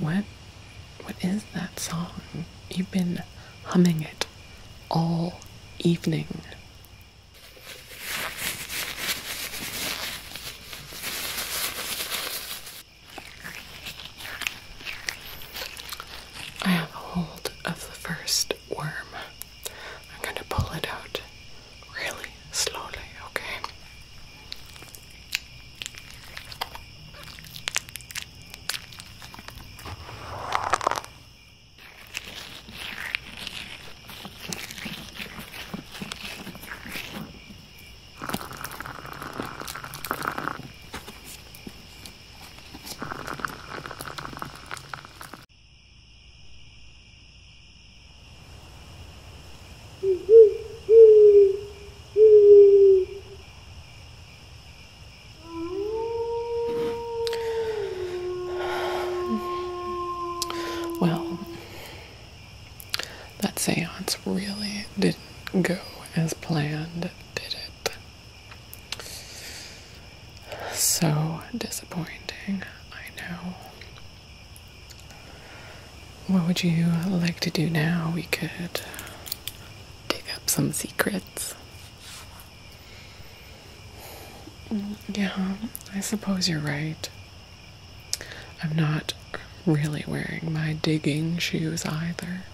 What? What is that song? You've been humming it all evening. I have a hold of the first worm. I'm going to pull it out really slowly, okay? Well, that seance really didn't go as planned, did it? So disappointing, I know. What would you like to do now? We could dig up some secrets. Yeah, I suppose you're right. I'm not really wearing my digging shoes either.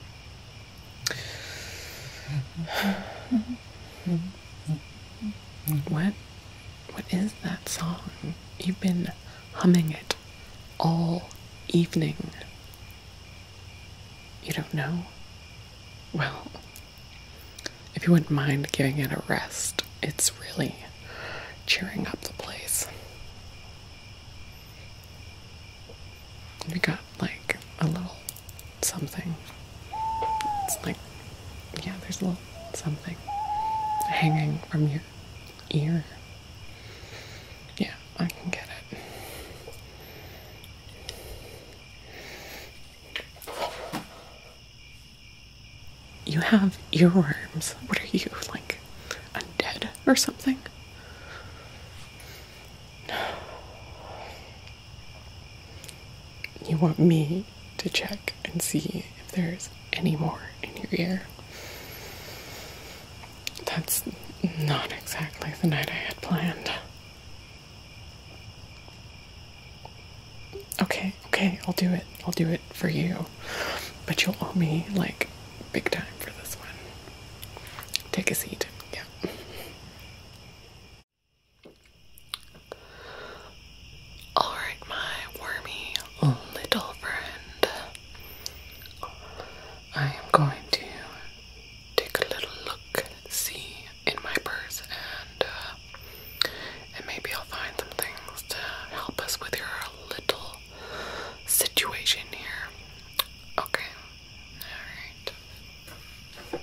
What? What is that song? You've been humming it all evening. You don't know? Well, if you wouldn't mind giving it a rest, it's really cheering up the place. We got like a little something. It's like, yeah, there's a little something hanging from your ear. Yeah, I can get it. You have earworms. What are you, like undead or something? You want me to check and see if there's any more in your ear. That's not exactly the night I had planned. Okay, okay, I'll do it. I'll do it for you. But you'll owe me, like, big time for this one. Take a seat. Yeah. Alright, my wormy little friend. I am going to take a little look, see in my purse, and uh, and maybe I'll find some things to help us with your little situation here. Okay. All right.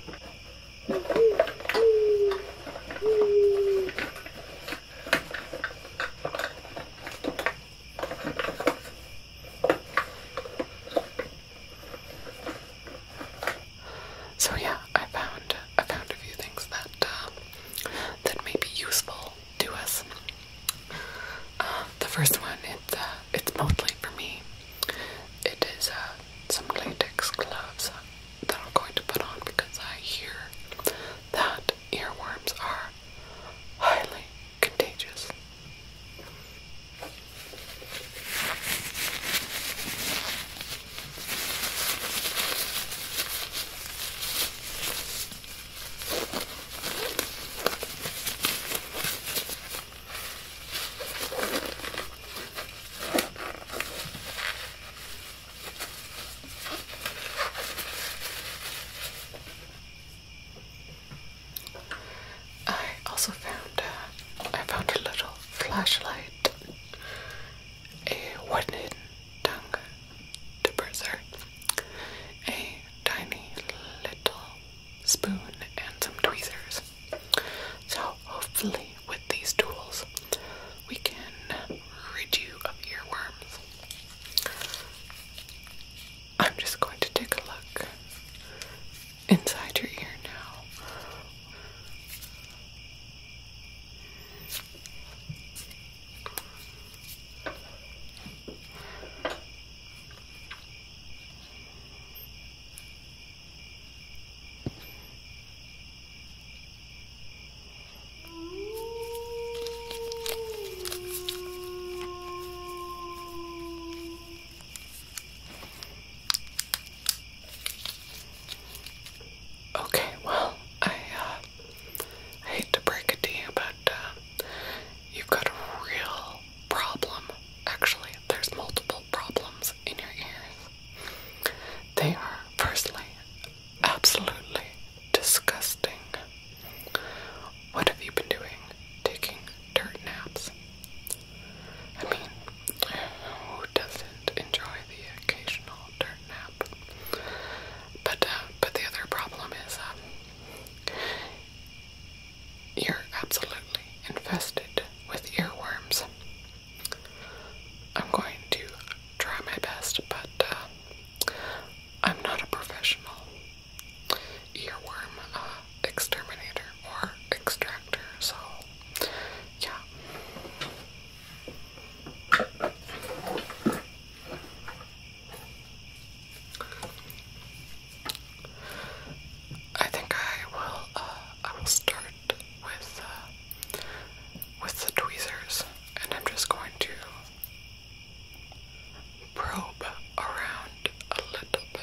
So yeah, I found I found a few things that uh, that may be useful to us. Uh, the first one, it's uh, it's mostly for me. It is some latex gloves that I'm going to put on because I hear that earworms are highly contagious. I also found uh, I found a little flashlight, a wooden tongue depressor, a tiny little spoon, and some tweezers. So hopefully with these tools we can rid you of earworms. I'm just going to take a look inside your ear now. Okay, well, uh, I, hate to break it to you, but uh, you've got a real problem. Actually, there's multiple problems in your ears. They are, firstly, absolutely disgusting. What have you been doing? Taking dirt naps? I mean, who doesn't enjoy the occasional dirt nap? But uh, but the other problem is um, you're absolutely infested with earworms. I'm going to try my best, but uh, I'm not a professional earworm uh, exterminator or extractor, so yeah. I think I will. Uh, I will start with uh, with the tweezers, and I'm just going to probe around a little bit.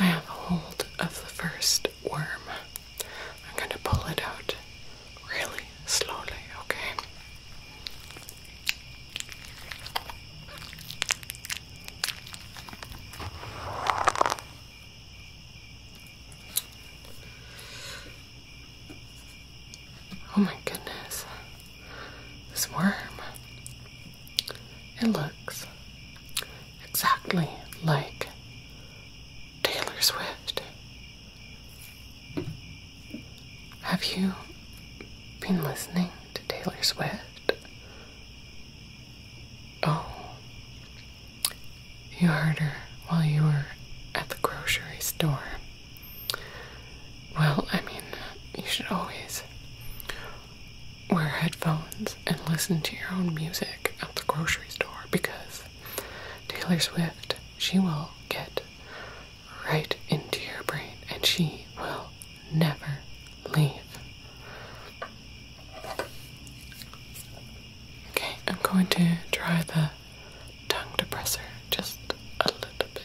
I have a hold of the first worm. I'm going to pull it out really slowly, okay? Oh my goodness. This worm. It looks exactly like Taylor Swift. Have you been listening to Taylor Swift? Oh, you heard her while you were at the grocery store. Well, I mean, you should always wear headphones and listen to your own music at the grocery store because Taylor Swift, she will get right into your brain and she will never leave. Okay, I'm going to try the tongue depressor just a little bit.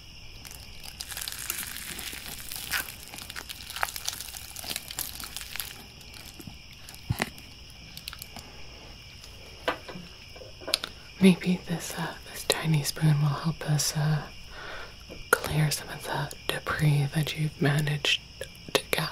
Maybe this uh, this tiny spoon will help us uh, clear some of the debris that you've managed to gather.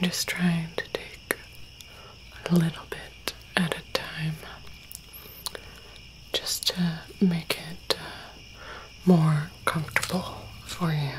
I'm just trying to take a little bit at a time just to make it uh, more comfortable for you.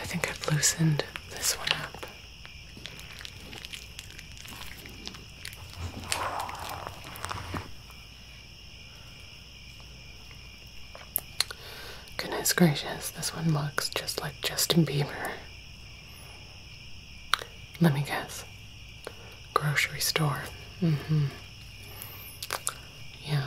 I think I've loosened this one up. Goodness gracious, this one looks just like Justin Bieber. Let me guess. Grocery store. Mm hmm. Yeah.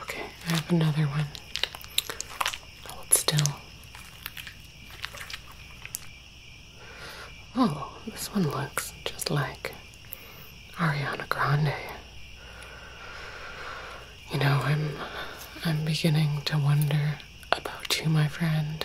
Okay, I have another one. Hold still. Oh, this one looks just like Ariana Grande. You know, I'm I'm beginning to wonder about you, my friend.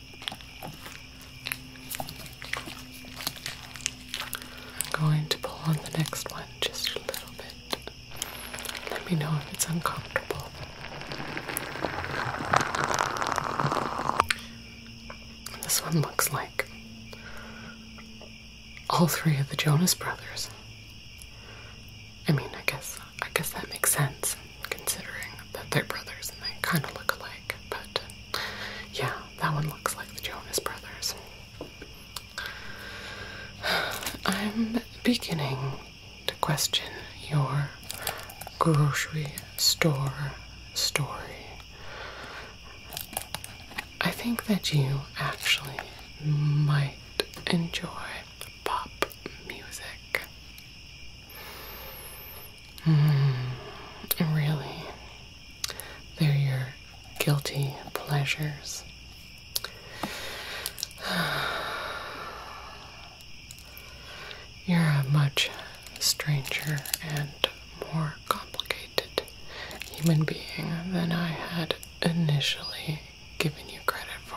I'm going to pull on the next one just a little bit. Let me know if it's uncomfortable. This one looks like all three of the Jonas brothers. I mean, I guess I guess that makes sense considering that they're brothers and they kind of look alike, but yeah, that one looks like the Jonas Brothers. I'm beginning to question your grocery store story. I think that you actually might enjoy pop music. Mm, really, they're your guilty pleasures. You're a much stranger and more complicated human being than I had initially given you credit for.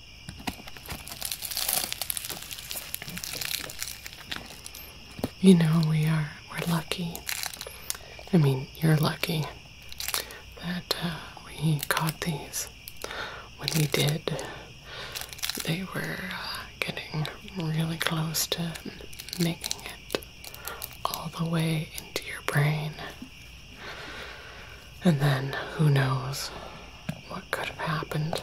You know, we are, we're lucky. I mean, you're lucky that uh, we caught these. When we did, they were uh, getting really close to making it all the way into your brain. And then who knows could have happened.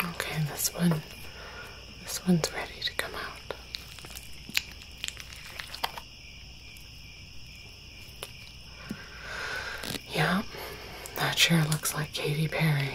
Okay, this one, this one's ready to come out. Yeah, that sure looks like Katy Perry.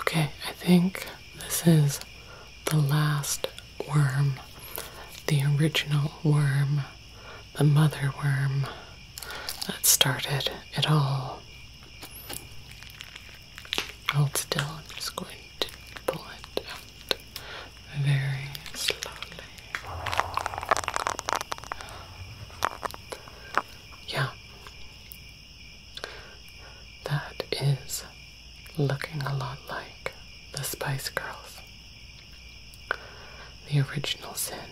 Okay, I think this is the last worm, the original worm the mother worm that started it all. Hold still, I'm just going to pull it out very slowly. Yeah. That is looking a lot like the Spice Girls. The original sin.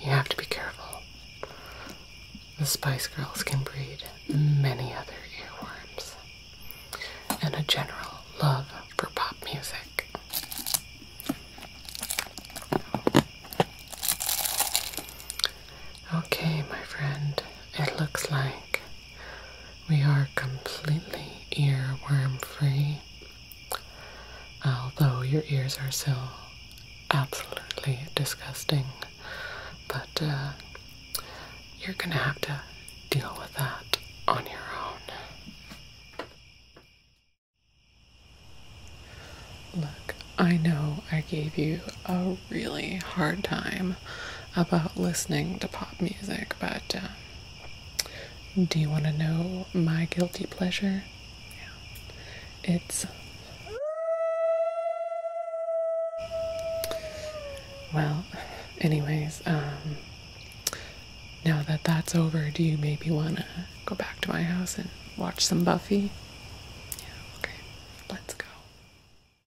You have to be careful. The Spice Girls can breed many other earworms and a general love for pop music. Okay, my friend, it looks like we are completely earworm free, although your ears are still absolutely disgusting. But uh, you're gonna have to deal with that on your own. Look, I know I gave you a really hard time about listening to pop music, but uh, do you want to know my guilty pleasure? Yeah. It's. Well, anyways, um, now that that's over, do you maybe want to go back to my house and watch some Buffy? Yeah, okay, let's go.